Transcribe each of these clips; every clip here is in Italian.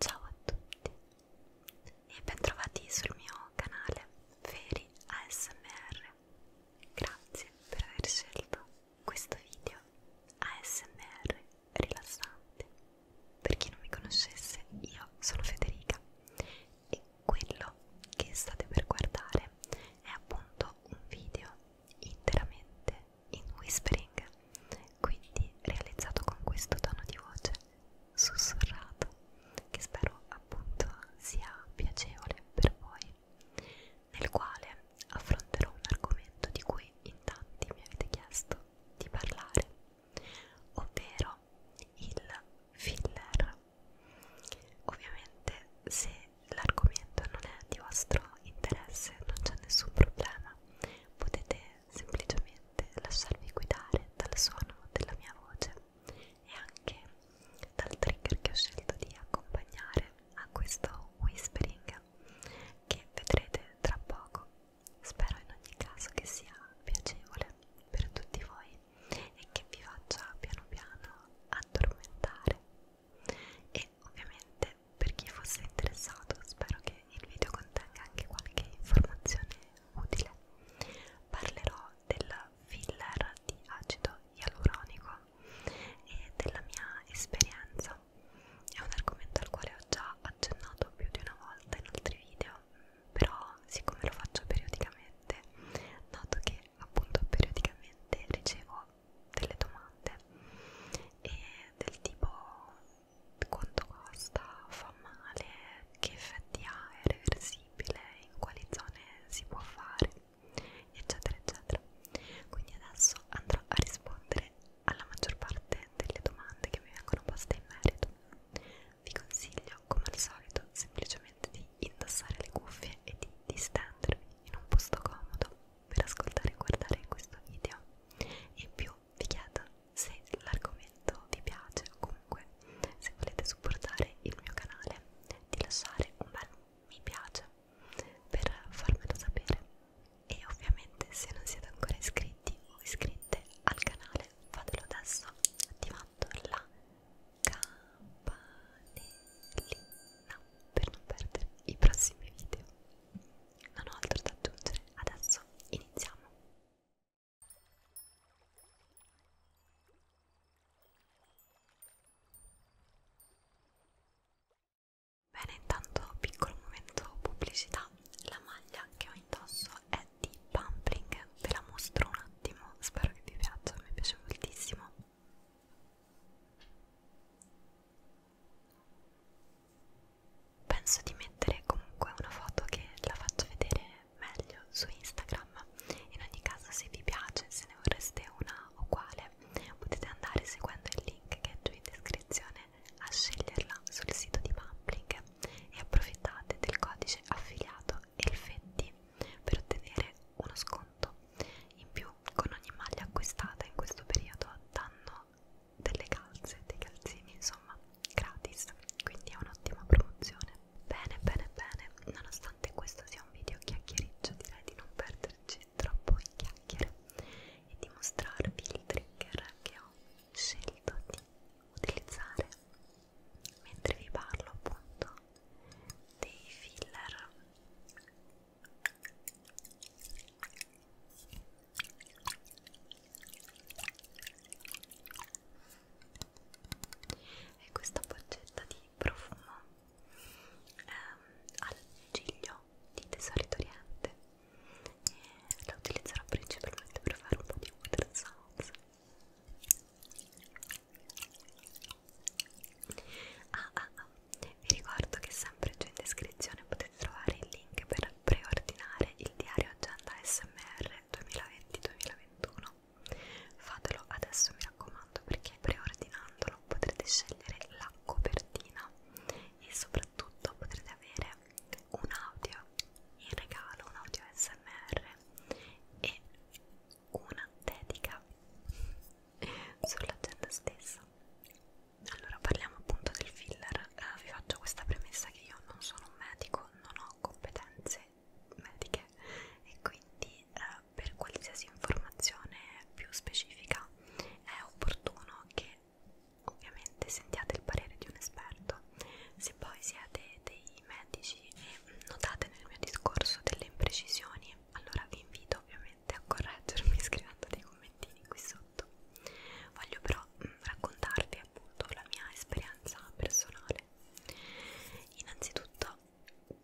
Ciao a tutti e bentrovati sul mio canale Feri ASMR. Grazie per aver scelto questo video ASMR rilassante. Per chi non mi conoscesse, io sono Federica e quello che state per guardare è appunto un video interamente in whispering, quindi realizzato con questo tono di voce sussurrato che spero appunto sia piacevole per voi, nel quale affronterò un argomento di cui in tanti mi avete chiesto di parlare, ovvero il filler. Ovviamente se l'argomento non è di vostro interesse non c'è nessun problema, potete semplicemente lasciarvi guidare dal suono della mia voce e anche dal trigger che ho scelto di accompagnare a questo whispering che vedrete tra poco. Spero in ogni caso che sia piacevole per tutti voi e che vi faccia piano piano addormentare e ovviamente per chi fosse interessato spero che il video contenga anche qualche informazione utile parlerò del filler di acido ialuronico e della mia esperienza è un argomento al quale ho già accennato più di una volta in altri video però siccome lo faccio periodicamente noto che appunto periodicamente ricevo delle domande e del tipo quanto costa, fa male, che effetti ha, è reversibile, in quali zone si può fare, eccetera, eccetera. Quindi adesso andrò a rispondere alla maggior parte delle domande che mi vengono poste in merito. Vi consiglio, come al solito, semplicemente di indossare le cuffie e di distendervi in un posto comodo per ascoltare e guardare questo video. In più video vi chiedo se l'argomento vi piace o comunque se volete supportare il mio canale di lasciare un bel mi piace per farmelo sapere e ovviamente se non siete ancora iscritti o iscritte al canale fatelo adesso attivando la campanellina per non perdere i prossimi video non ho altro da aggiungere, adesso iniziamo. Bene, intanto piccolo momento pubblicità, la maglia che ho indosso è di Pampling, ve la mostro un attimo, spero che vi piaccia, mi piace moltissimo penso di mettere comunque una foto che la faccia vedere meglio su Instagram in ogni caso se vi piace se ne vorreste una uguale potete andare seguendo il link che è giù in descrizione a sceglierla sul sito di Public e approfittate del codice affiliato Elfetti per ottenere uno sconto in più con ogni maglia acquistata in questo periodo danno ho delle calze, dei calzini insomma gratis, quindi è un'ottima promozione. Bene, bene, bene, nonostante questo sia un video chiacchiericcio direi di non perderci troppo in chiacchiere e di mostrarvi il trigger che ho scelto di utilizzare mentre vi parlo appunto dei filler e questa boccetta di profumo ehm, al ciglio di Tesori d'Oriente e la utilizzerò principalmente per fare un po' di water sounds ah ah ah vi ricordo che sempre giù in descrizione potete trovare il link per preordinare il diario Agenda SMR 2020-2021. Fatelo adesso mi raccomando perché preordinandolo potrete scegliere la copertina e soprattutto potrete avere un audio in regalo, un audio SMR e una dedica sull'agenda stessa allora parliamo appunto del filler eh, vi faccio questa premessa io non sono un medico, non ho competenze mediche e quindi eh, per qualsiasi informazione più specifica è opportuno che ovviamente sentiate il parere di un esperto. Se poi siete dei medici e notate nel mio discorso delle imprecisioni, allora vi invito ovviamente a correggermi scrivendo dei commentini qui sotto. Voglio però mh, mm, raccontarvi appunto la mia esperienza personale. Innanzitutto,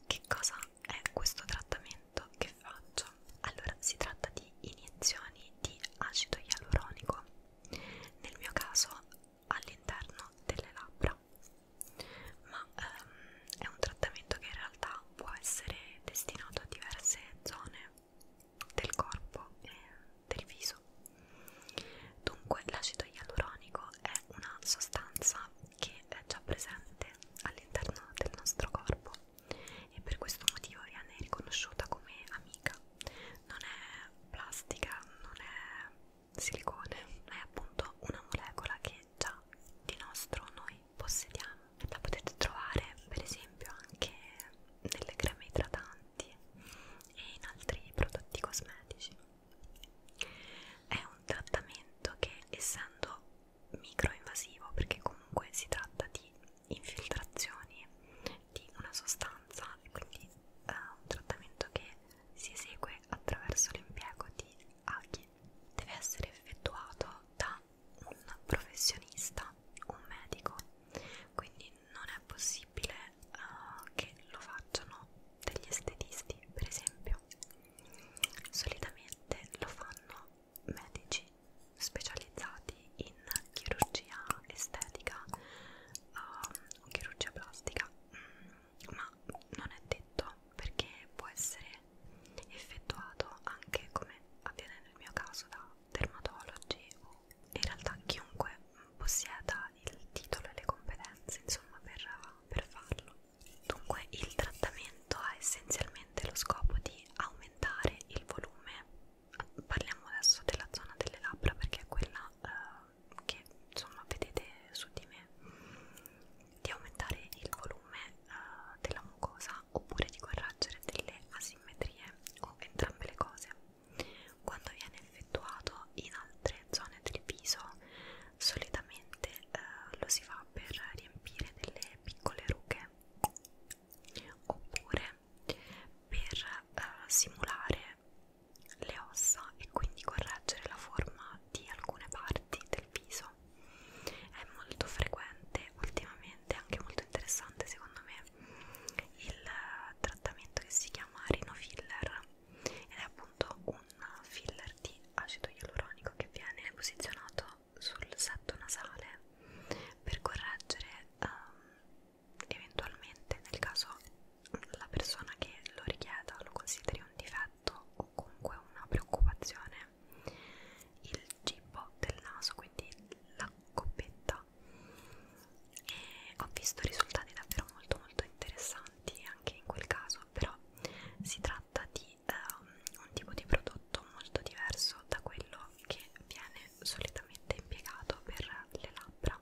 che cosa è questo trattamento che faccio? Allora, si tratta di iniezioni di acido ialuronico, nel mio caso all'interno delle labbra, ma ehm, è un trattamento che in realtà può essere destinato a diverse zone del corpo e del viso. Dunque l'acido ialuronico è una sostanza che è già presente all'interno del nostro corpo e per questo motivo viene riconosciuta come amica. Non è plastica, non è silicone, è appunto una molecola che già di nostro noi possediamo. La potete trovare per esempio anche nelle creme idratanti e in altri prodotti cosmetici. È un trattamento che essendo microinvasivo, perché comunque si tratta di infiltrazioni di una sostanza, quindi è eh, un trattamento che si esegue attraverso l'impiego di aghi, deve essere effettuato da un professionista, un medico, quindi quindi non è possibile uh, che lo facciano degli estetisti per esempio solitamente lo fanno medici specializzati in chirurgia estetica uh, o chirurgia plastica mm, ma non è detto perché può essere effettuato anche come avviene nel mio caso da dermatologi o in realtà chiunque possieda il titolo e le competenze insomma per, per farlo. Dunque il trattamento ha essenzialmente lo scopo di aumentare il volume, parliamo adesso della zona delle labbra perché è quella eh, che insomma vedete su di me, di aumentare il volume eh, della mucosa oppure di correggere delle asimmetrie o entrambe le cose. Quando viene effettuato in altre zone del viso, solitamente eh, lo si fa per riempire delle piccole rughe oppure per eh, simulare le ossa e quindi correggere la forma di alcune parti del viso. È molto frequente ultimamente, anche molto interessante secondo me, il trattamento che si chiama Rino Filler ed è appunto un filler di acido ialuronico che viene posizionato sul setto nasale per correggere um, eventualmente nel caso la persona che lo richieda lo consideri un difetto o comunque una preoccupazione il cibo del naso quindi la coppetta realtà e ho visto risultati davvero molto molto interessanti anche in quel caso però si tratta di um, un tipo di prodotto molto diverso da quello che viene solitamente impiegato per le labbra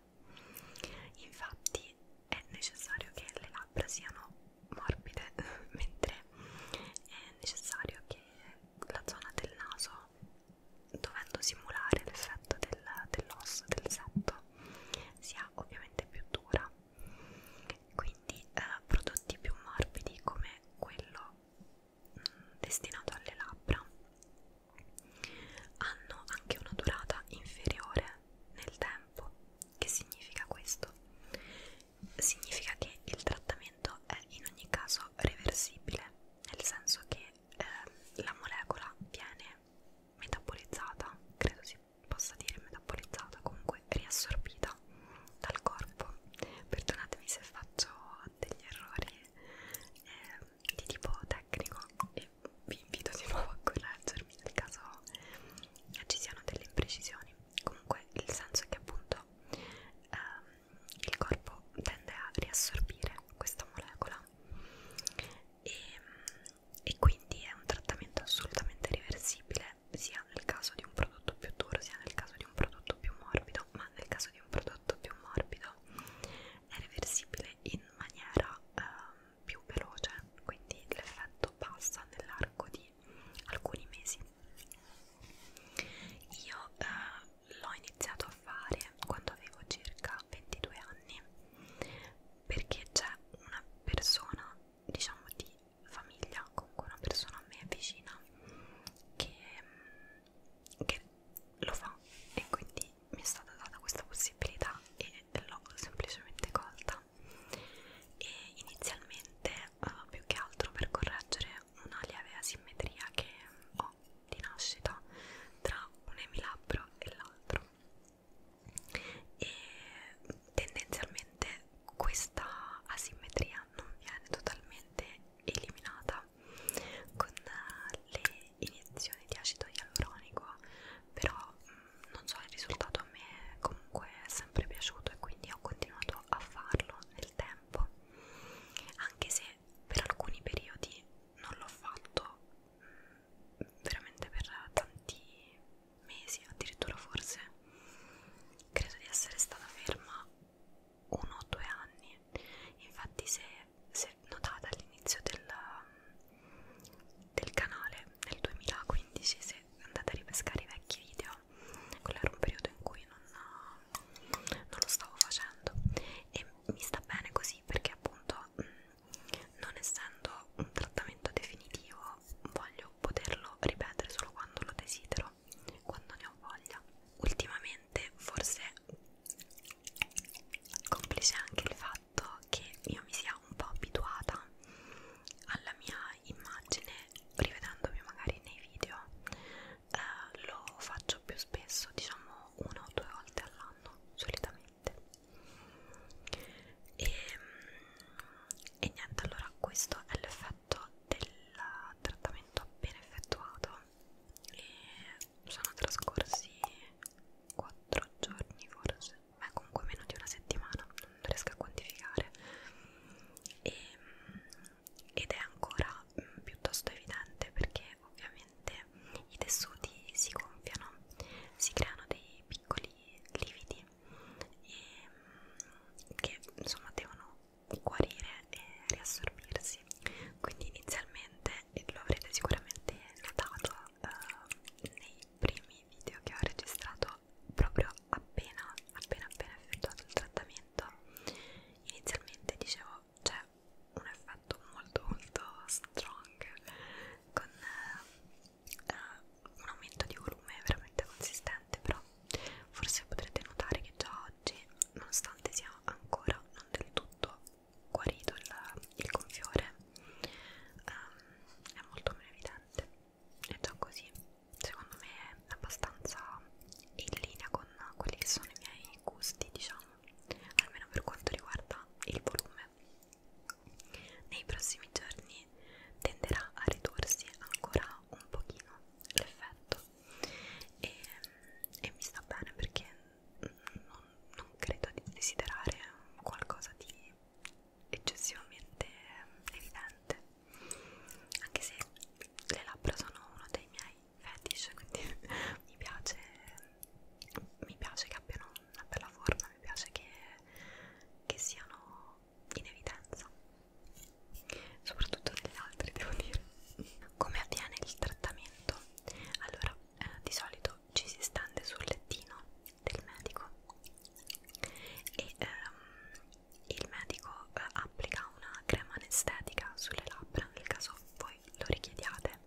infatti è necessario che le labbra siano morbide mentre è necessario che la zona del naso dovendo simulare l'effetto dell'osso, del, del setto, sia ovviamente più dura. Quindi eh, prodotti più morbidi come quello mh, mm, destinato alle labbra hanno anche una durata inferiore nel tempo. Che significa questo? Significa che il trattamento è in ogni caso reversibile, nel senso che eh, la molecola viene metabolizzata, credo si possa dire metabolizzata, comunque riassorbita dal corpo. Perdonatemi se faccio degli errori eh, di tipo tecnico e vi invito di nuovo a correggermi nel caso ci siano delle imprecisioni. Comunque il senso è che appunto ehm, il corpo tende a riassorbire questa molecola e, e quindi è un trattamento assolutamente reversibile sia nel caso di un prodotto più duro sia nel caso di un prodotto più morbido ma nel caso di un prodotto più morbido è reversibile in maniera eh, più veloce quindi l'effetto passa nell'arco di alcuni mesi io eh, l'ho iniziato a fare quando avevo circa 22 anni perché c'è una persona diciamo di famiglia comunque una persona a me vicina che, mm, che lo fa e quindi mi è stata data questa possibilità e l'ho semplicemente colta e inizialmente uh, più che altro per correggere una lieve asimmetria che ho anno di nascita tra un emilabro e l'altro e tendenzialmente questa asimmetria non viene totalmente eliminata con le iniezioni di acido ialuronico però mm, non so il risultato a me comunque è sempre piaciuto e quindi ho continuato a farlo nel tempo anche se per alcuni periodi non l'ho fatto veramente per tanti mesi, addirittura forse credo di essere stata ferma uno o due anni. Infatti, se, se notate all'inizio del, del canale nel 2015, se andate a ripescare i vecchi video, quello era un periodo in cui non, non lo stavo facendo e mi sta bene così perché appunto mm, non essendo un trattamento definitivo voglio poterlo ripetere solo quando lo desidero, quando ne ho voglia. Ultimamente forse complice anche il fatto che io mi sia un po' abituata alla mia immagine rivedendomi magari nei video eh, lo faccio più spesso diciamo una o due volte all'anno fanno solitamente e, e niente allora questo è l'effetto del trattamento appena effettuato e sono trascorsi 4 giorni forse ma comunque meno di una settimana non riesco a quantificare e, ed è ancora mm, piuttosto evidente perché ovviamente praticamente i tessuti si gonfiano, si creano dei piccoli lividi e, ehm, che insomma devono guarire e riassorbirsi. Quindi inizialmente, e lo avrete sicuramente notato eh, nei primi video che ho registrato proprio appena appena appena effettuato il trattamento, inizialmente dicevo però c'è cioè, un effetto molto molto strong con eh, eh, un aumento di volume veramente consistente però forse potrete notare che già oggi nonostante sia ancora non del tutto guarito il, il gonfiore ehm, è molto meno evidente e già così secondo me è abbastanza in linea con quelli che sono i miei miei gusti diciamo almeno per quanto riguarda il volume nei prossimi giorni tenderà a ridursi ancora un pochino l'effetto e, e mi sta bene perché non, non credo di desiderare qualcosa di eccessivamente evidente anche se le labbra sono uno dei miei fetish quindi mi piace mi piace che abbiano una bella forma, mi piace che, che siano in evidenza, soprattutto negli altri devo dire. Come avviene il trattamento? Allora, eh, di solito ci si stende sul lettino del medico e ehm, il medico eh, applica una crema anestetica sulle labbra nel caso voi lo richiediate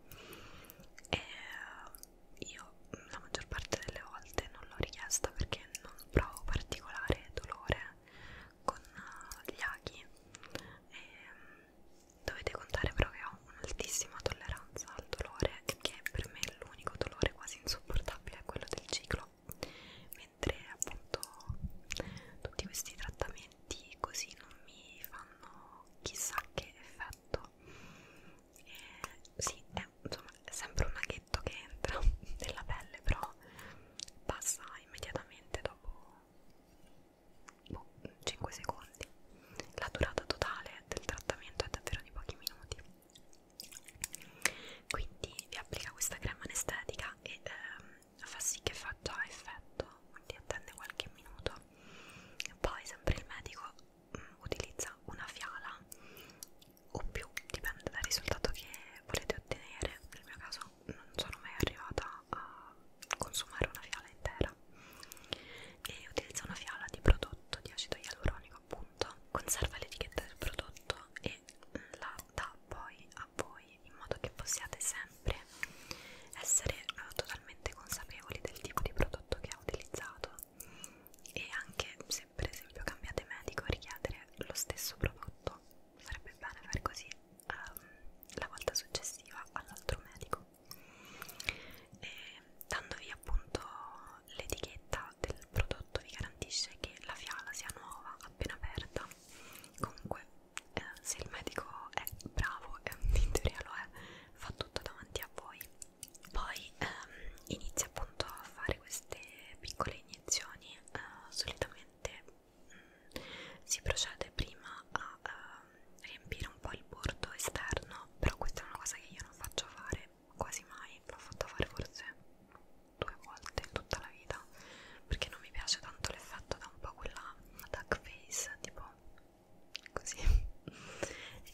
e eh, io la maggior parte delle volte non l'ho richiesta perché non provo particolare dolore con eh, gli aghi e mm, dovete contare però che ho un'altissima tolleranza al dolore e che per me l'unico dolore quasi insopportabile è quello del ciclo mentre appunto tutti questi trattamenti così non mi fanno chissà che effetto letto eh, sì, è, insomma, è sempre un aghetto che entra nella pelle però passa immediatamente dopo boh, 5 secondi la durata totale del trattamento è davvero di pochi minuti quindi vi applica questa crema anestetica e ehm, fa sì che faccia effetto quindi attende qualche minuto. Poi sempre il medico mh, mm, utilizza una fiala o più, dipende dal risultato che volete ottenere. Nel mio caso non sono mai arrivata a consumare una fiala intera. E utilizza una fiala di prodotto di acido ialuronico appunto, conserva l'etichetta del prodotto e la dà poi a voi in modo che possiate sempre essere eh, totalmente consapevoli del tipo di prodotto che ha utilizzato e anche se per esempio cambiate medico richiedere lo stesso prodotto sarebbe bene fare così ehm, la volta successiva all'altro medico e dandovi appunto l'etichetta del prodotto vi garantisce che la fiala sia nuova appena aperta comunque eh, se il medico è bravo e in teoria lo è fa tutto davanti a voi poi ehm, inizia appunto a fare queste piccole iniezioni eh, solitamente mh, mm, si procede prima a eh, riempire un po' il bordo esterno però questa è una cosa che io non faccio fare quasi mai l'ho fatta fare forse due volte in tutta la vita perché non mi piace tanto l'effetto da un po' quella duck face tipo così e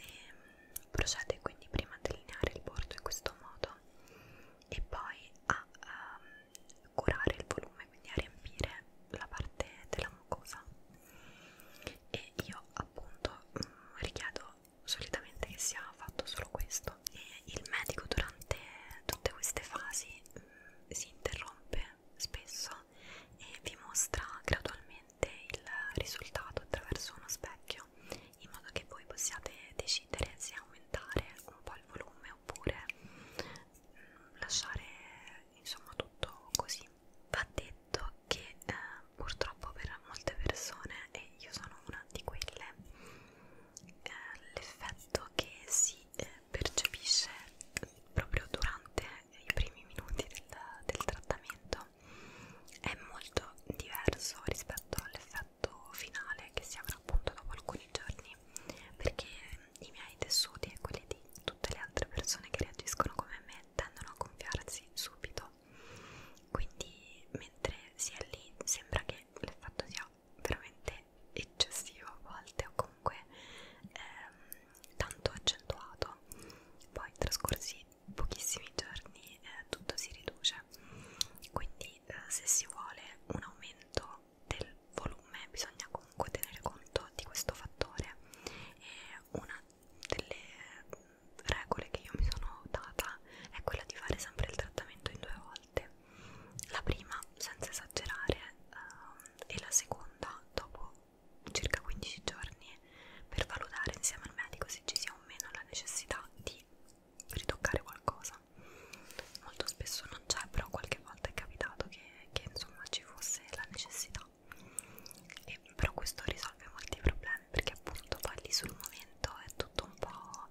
ehm, procede quindi prima a delineare il bordo in questo modo e poi a um, curare il volume quindi a riempire la parte della mucosa e io appunto mh, mm, richiedo solitamente che sia fatto solo questo e il medico durante tutte queste fasi mh, mm, si interrompe spesso e vi mostra gradualmente il risultato attraverso uno specchio in modo che voi possiate decidere se aumentare un po' il volume oppure mh, mm, lasciare insomma tutto così va detto che eh, purtroppo per molte persone e io sono una di quelle eh, l'effetto che si eh, percepisce proprio durante i primi minuti del, del trattamento è molto diverso rispetto all'effetto finale che si avrà appunto dopo alcuni giorni perché i miei tessuti e quelli di tutte le altre persone che reagiscono come me tendono a gonfiarsi subito quindi mentre si è lì sembra che l'effetto sia veramente eccessivo a volte o comunque ehm, tanto accentuato poi trascorsi pochissimi giorni eh, tutto si riduce quindi eh, se si vuole un aumento del volume bisogna comunque tenere conto di questo fattore e una delle regole che io mi sono data è quella di fare sempre il trattamento in due volte la prima senza esagerare ehm, e la seconda dopo circa 15 giorni per valutare insieme al medico se ci sia o meno la necessità di ritoccare qualcosa. Molto spesso non c'è, però qualche volta è capitato che, che insomma ci fosse la necessità. E, però questo risolve molti problemi perché appunto poi lì sul momento è tutto un po'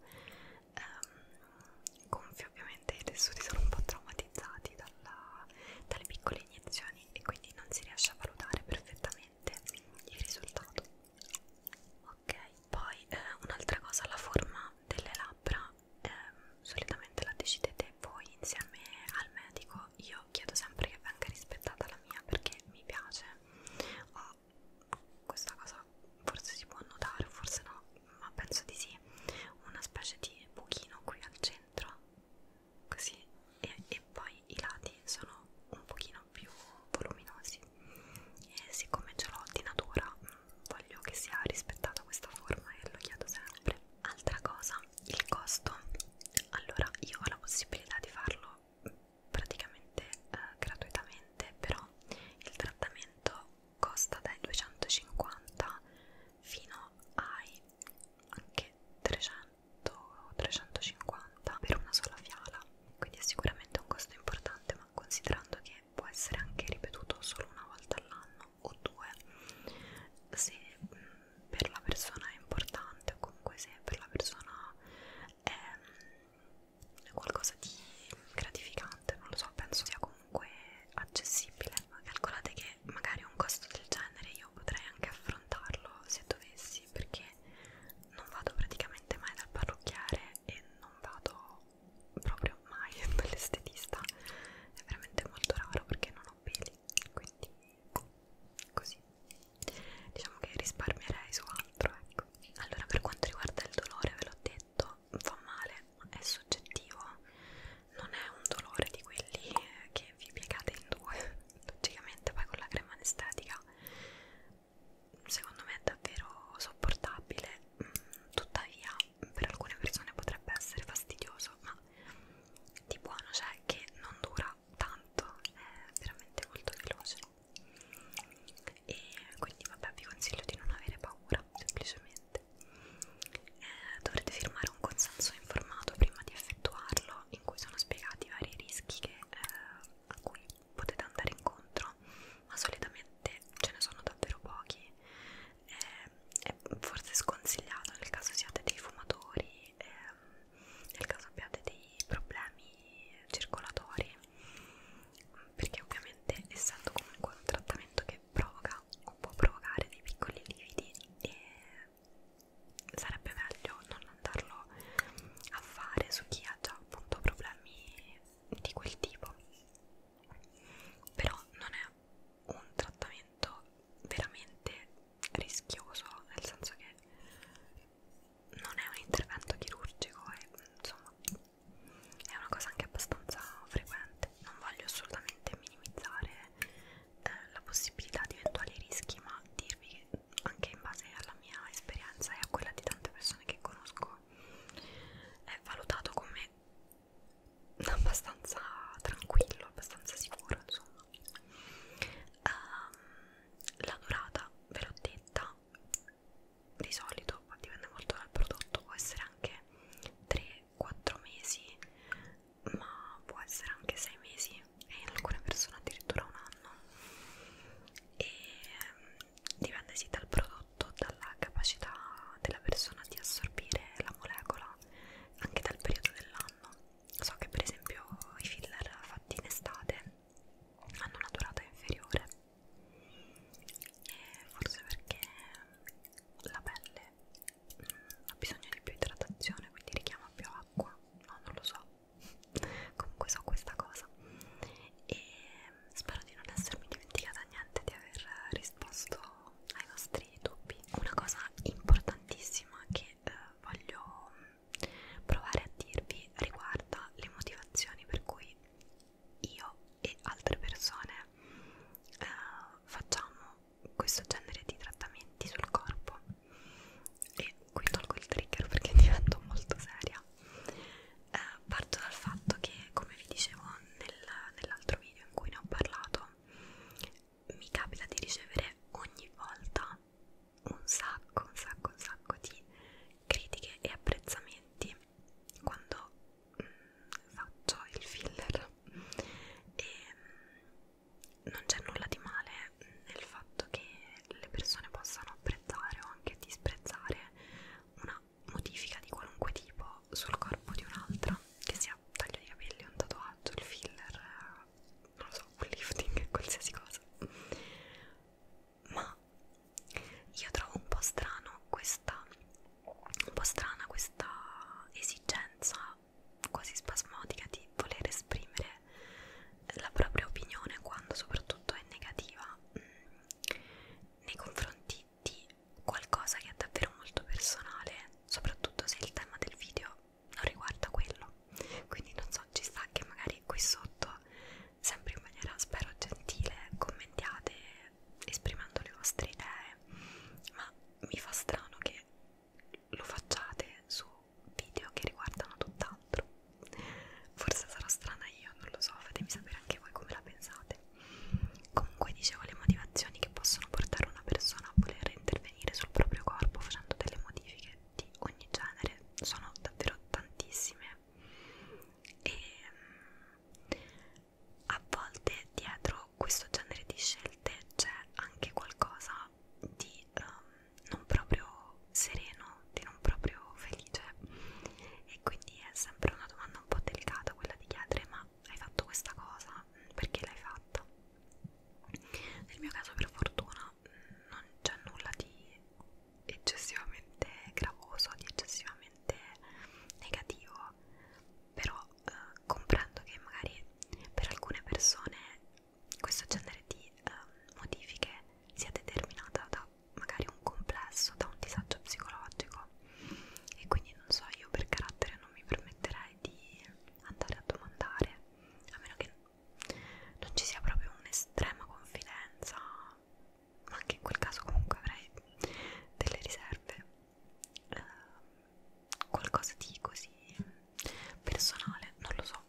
ehm, gonfio ovviamente i tessuti sono un po' traumatizzati dalla, dalle piccole iniezioni mani e quindi non si riesce a valutare perfettamente il risultato ok poi eh, un'altra cosa la forma delle labbra eh, solitamente la decidete voi insieme al medico io chiedo sempre che venga rispettata la mia perché mi piace ho ah, questa cosa forse si può notare forse no ma penso di sì una specie di buchino qui al centro così e, e poi i lati sono un pochino più voluminosi e siccome ce l'ho di natura mm, voglio che sia rispettata questa forma e lo chiedo sempre altra cosa il costo allora io ho la possibilità di farlo mm, praticamente eh, gratuitamente però il trattamento costa dai 250 fino ai anche 300 o 350 per una sola fiala quindi è sicuramente un costo importante ma considerando che può essere anche ripetuto solo una volta all'anno o due se mh, mm, per la persona è importante o comunque se per la persona è mh, mm, qualcosa di gratificante non lo so penso sia comunque accessibile calcolate che magari un costo del genere io potrei anche affrontare piantarlo se dovessi perché non vado praticamente mai dal parrucchiere e non vado proprio mai dall'estetista è veramente molto raro perché non ho peli quindi così diciamo che risparmierei su altro ecco allora per quanto riguarda il dolore ve l'ho detto fa male è soggettivo non è un dolore di quelli che e vi piegate in due logicamente poi con la crema anestetica secondo me è davvero sopportabile mm, tuttavia per alcune persone potrebbe essere fastidioso ma di buono c'è che non dura tanto è veramente molto veloce e quindi vabbè vi consiglio di non avere paura semplicemente eh, dovrete firmare un consenso informato prima di effettuarlo video in cui sono spiegati i vari rischi che, eh, a cui potete andare incontro, ma solitamente ce ne sono davvero pochi. Eh, è forse sconsigliato nel caso siate dei fumatori, eh, nel caso abbiate dei problemi circolatori, perché ovviamente essendo comunque un trattamento che provoca o può provocare dei piccoli lividi e sarebbe meglio non andarlo a fare su chi ha già appunto problemi di quel tipo però non è un trattamento veramente rischioso nel senso che non è un intervento chirurgico e insomma è una cosa anche abbastanza frequente non voglio assolutamente minimizzare eh, la possibilità di eventuali rischi, ma dirvi che anche in base alla mia esperienza e a quella di tante persone che conosco è valutato come abbastanza tranquillo, abbastanza sicuro insomma. Um, la durata ve l'ho detta, di solito dipende molto dal prodotto, può essere anche 3-4 mesi ma può essere anche 6 mesi e in alcune persone addirittura un anno e ehm, dipende sì dal prodotto, dalla capacità della persona di assorbire la molecola, anche dal periodo dell'anno. So che per esempio i filler fatti in estate hanno una durata inferiore e forse perché la pelle mm, ha bisogno di più idratazione quindi richiama più a acqua no non lo so comunque so questa cosa e mm, spero di non essermi dimenticata niente di aver risposto ai vostri dubbi una cosa importantissima che eh, voglio mm, provare a dirvi riguarda le motivazioni per cui io e altre persone eh, facciamo questo genere di trattamenti sul corpo e qui tolgo il trigger perché divento molto seria eh, parto dal fatto che come vi dicevo nel, nell'altro video in cui ne ho parlato mi capita di ricevere ogni volta un sacco un sacco un sacco di critiche e apprezzamenti quando mh, mm, faccio il filler e mm, non c'è nulla di male nel fatto che le persone possano apprezzare o anche disprezzare una modifica di qualunque tipo sul corpo di un'altra, che sia un taglio di capelli, un tatuaggio, il filler, eh, non lo so, un lifting, qualsiasi cosa. Ma io trovo un po' strano questa un po' strana questa esigenza quasi spasmodica di voler esprimere la propria opinione quando soprattutto è negativa mh, mm, nei confronti di qualcosa che è davvero molto personale, soprattutto se il tema del video non riguarda quello. Quindi non so, ci sta che magari qui sotto, sempre in maniera spero gentile, commentiate esprimendo le vostre idee, ma mi fa strano che lo facciate su video che riguardano tutt'altro. Forse sarò strana io, non lo so, fatemi sapere anche voi come la pensate. Comunque dicevo le motivazioni che possono portare una persona a voler intervenire sul proprio corpo facendo delle modifiche di ogni genere sono davvero tantissime e mm, a volte dietro questo genere di scelte c'è anche qualcosa di um, non proprio sereno, di non proprio felice e quindi è sempre una domanda un po' delicata quella di chiedere ma hai fatto questa cosa? Perché l'hai fatta? Nel mio caso per fortuna non c'è nulla di eccessivamente gravoso, di eccessivamente negativo però eh, comprendo che magari per alcune persone questo genere di um, modifiche sia determinata da magari un complesso, da un disagio psicologico e quindi non so, io per carattere non mi permetterei di andare a domandare a meno che non ci sia proprio un'estrema confidenza ma anche in quel caso comunque avrei delle riserve eh, qualcosa di così personale, non lo so.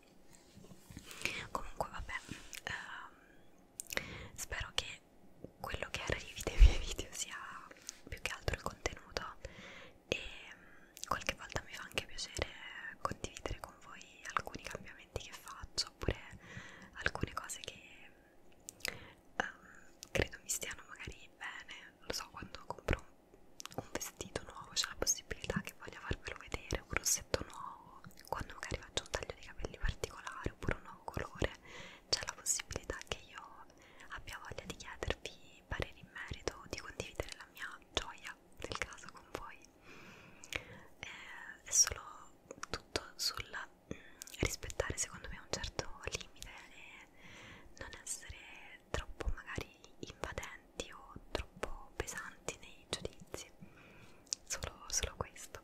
Comunque, vabbè, ehm, spero che quello che arrivi dei miei video sia più che altro il contenuto e mm, qualche volta mi fa anche piacere condividere con voi alcuni cambiamenti che faccio oppure alcune cose che ehm, credo mi stiano magari bene. Lo so, quando compro un vestito nuovo, c'è la possibilità che voglia farvelo vedere, un rossetto nuovo, quando magari faccio un taglio di capelli particolare oppure un nuovo colore, c'è la possibilità che io abbia voglia di chiedervi pareri in merito, di condividere la mia gioia nel caso con voi. Eh, è solo tutto sul mm, rispettare secondo me un certo limite e non essere troppo magari invadenti o troppo pesanti nei giudizi solo, solo questo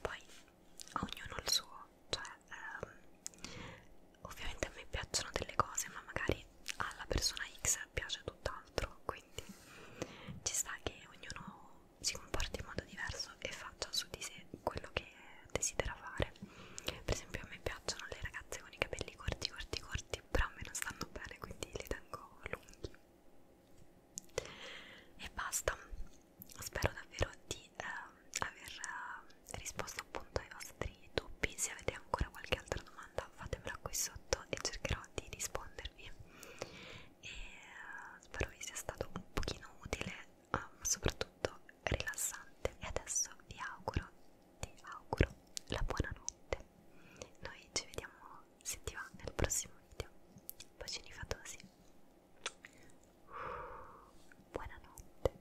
poi ognuno il suo cioè ehm, ovviamente a me piacciono delle cose ma magari alla persona X piace tutt'altro quindi ci sta che ognuno si comporti in modo diverso e faccia su di sé quello che desidera fare per esempio a me piacciono le ragazze con i capelli corti corti corti corti però a me non stanno bene quindi li tengo lunghi e basta spero davvero di eh, aver eh, risposto appunto ai vostri dubbi se avete ancora qualche altra domanda fatemela qui sotto e cercherò di rispondervi e eh, spero vi sia stato un pochino utile ehm, ma eh, soprattutto rilassante e adesso vi auguro ti auguro la buonanotte. Noi ci vediamo, se ti va, nel prossimo video. Bacini fatosi. Uh, buonanotte.